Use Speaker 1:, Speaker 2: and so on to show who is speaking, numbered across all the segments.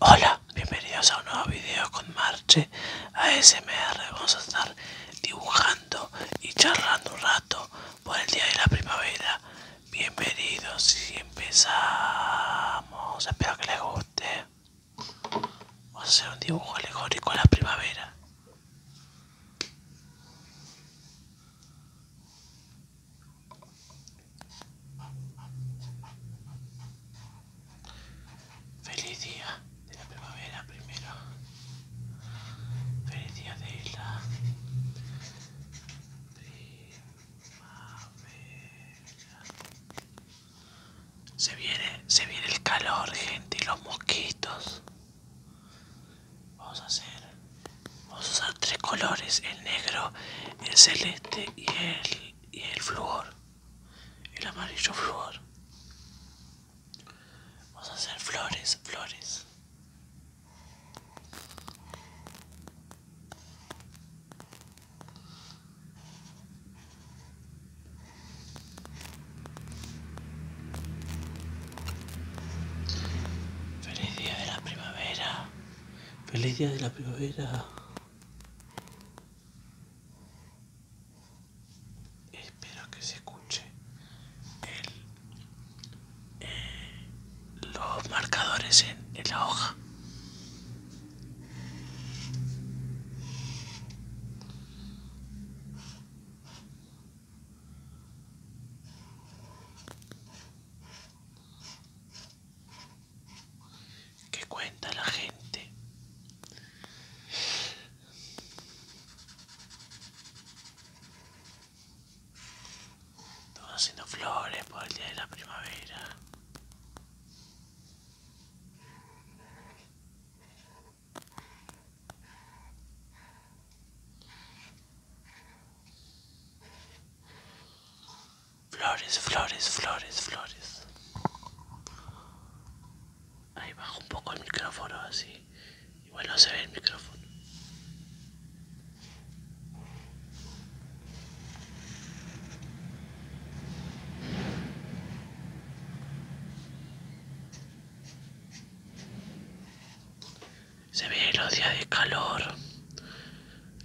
Speaker 1: Hola, bienvenidos a un nuevo video con Marche ASMR. Vamos a estar dibujando y charlando un rato por el día de la primavera. Bienvenidos y empezamos. Espero que les guste. Vamos a hacer un dibujo alegórico a la primavera. Feliz día de la primavera primero. Feliz día de la primavera. Se viene, se viene el calor, gente, y los mosquitos. Vamos a hacer Vamos a usar tres colores, el negro, el celeste y el, y el flúor. El amarillo flúor. Vamos a hacer flores, flores. Feliz día de la primavera.
Speaker 2: Feliz día de la primavera.
Speaker 1: Espero que se escuche eh, los marcadores en la hoja que cuenta la gente todos haciendo flores por el día de la primavera Flores, flores, flores, flores. Ahí bajo un poco el micrófono así. y bueno se ve el micrófono se ve los días de calor,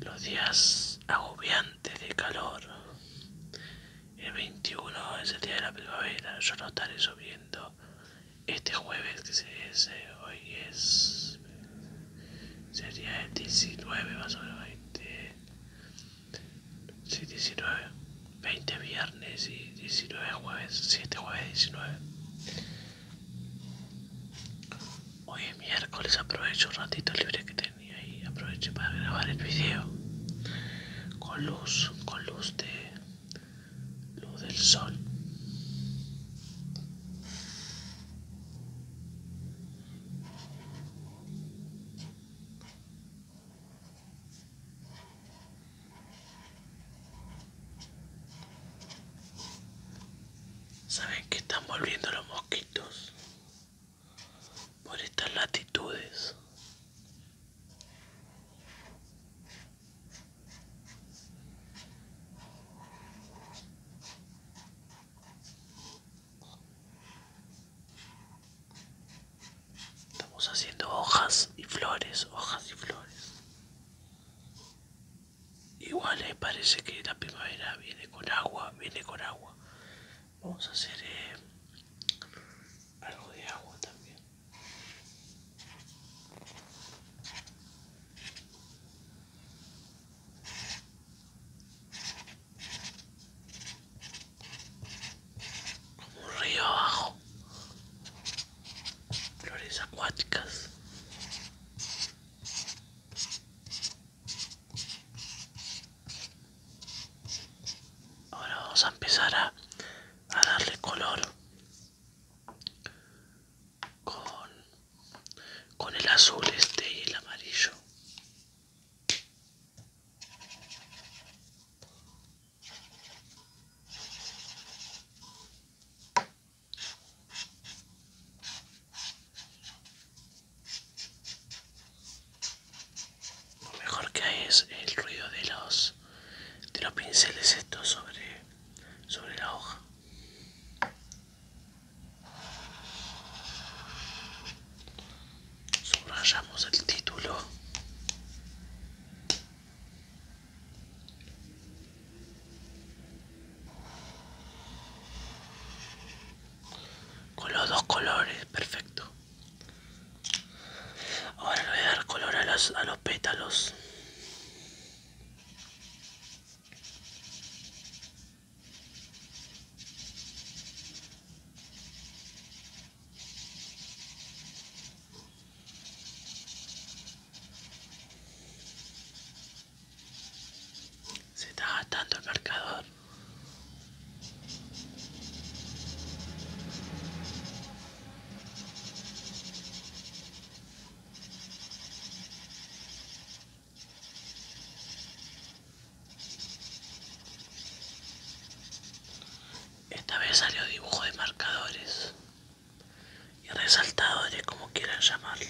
Speaker 1: los días agobiantes de calor. El 21 es el día de la primavera, yo lo estaré subiendo este jueves que es, hoy es, sería el 19 más o menos 20, 19, 20 viernes y 19 jueves, si este jueves 19. Hoy es miércoles, aprovecho un ratito libre que tenía y aprovecho para grabar el video con luz, con luz de luz del sol. Saben que están volviendo los mosquitos por estas latitudes. Estamos haciendo hojas y flores, hojas y flores. Igual eh, parece que la primavera viene con agua, viene con agua. Vamos a hacer eh, algo de agua también. Como un río abajo flores acuáticas ahora vamos a empezar a, a darle color con, con el azul este y el amarillo lo mejor que hay es el ruido de los de los pinceles esto sobre sobre la hoja. Subrayamos el título. Con los dos colores, perfecto. Ahora le voy a dar color a los, a los pétalos. Se está atando el marcador. Esta vez salió dibujo de marcadores y resaltadores, como quieran llamarle.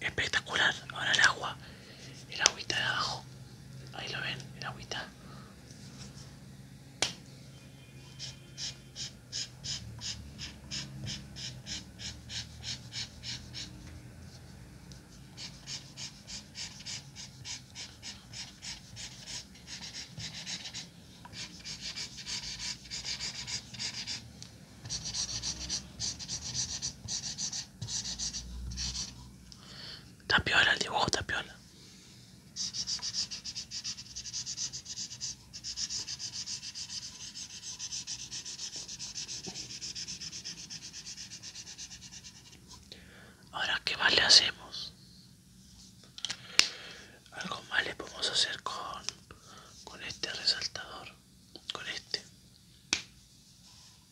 Speaker 1: Espectacular, ahora el agua el agüita de abajo. Ahí lo ven, el agüita. Tapiola, el dibujo tapiola. Ahora, ¿qué más le hacemos? Algo más le podemos hacer con, con este resaltador, con este.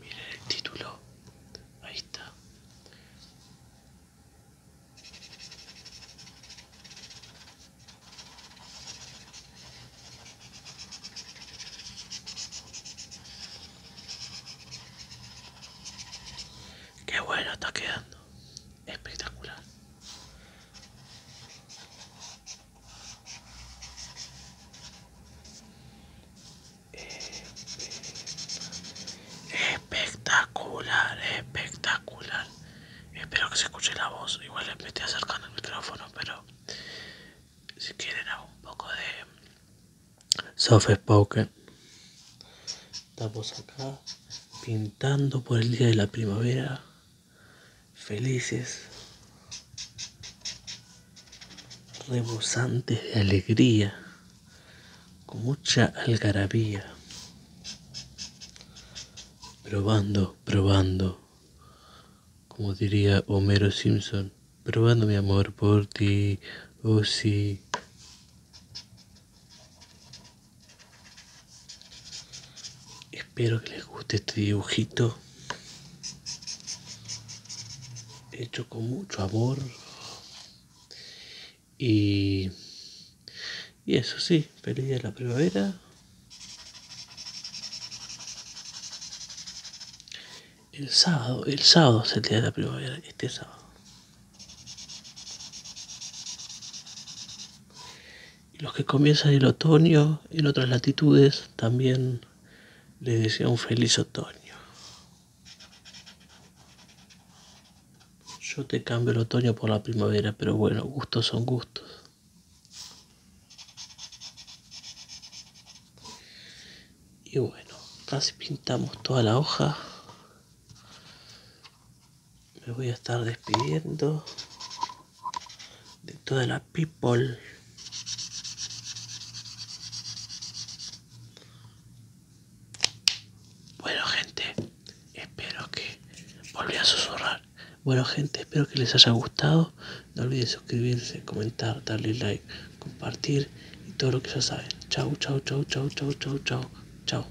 Speaker 1: Mire el título. Ahí está. Qué bueno está quedando. Espectacular. Espectacular, espectacular. Espero que se escuche la voz. Igual me estoy acercando el micrófono, pero si quieren hago un poco de
Speaker 2: soft spoken. Estamos acá pintando por el día de la primavera felices, rebosantes de alegría, con mucha algarabía. Probando, probando, como diría Homero Simpson, probando mi amor por ti, oh sí. Espero que les guste este dibujito. Hecho con mucho amor. Y, y eso sí, feliz de la primavera. El sábado, el sábado es el día de la primavera, este sábado. Y los que comienzan el otoño en otras latitudes también les deseo un feliz otoño. Yo te cambio el otoño por la primavera, pero bueno, gustos son gustos. Y bueno, casi pintamos toda la hoja me voy a estar despidiendo de toda la people.
Speaker 1: Bueno gente, espero que volví a susurrar.
Speaker 2: Bueno gente, espero que les haya gustado. No olviden suscribirse, comentar, darle
Speaker 1: like, compartir y todo lo que ya saben. Chau, chau, chau, chau, chau, chau, chau, chau.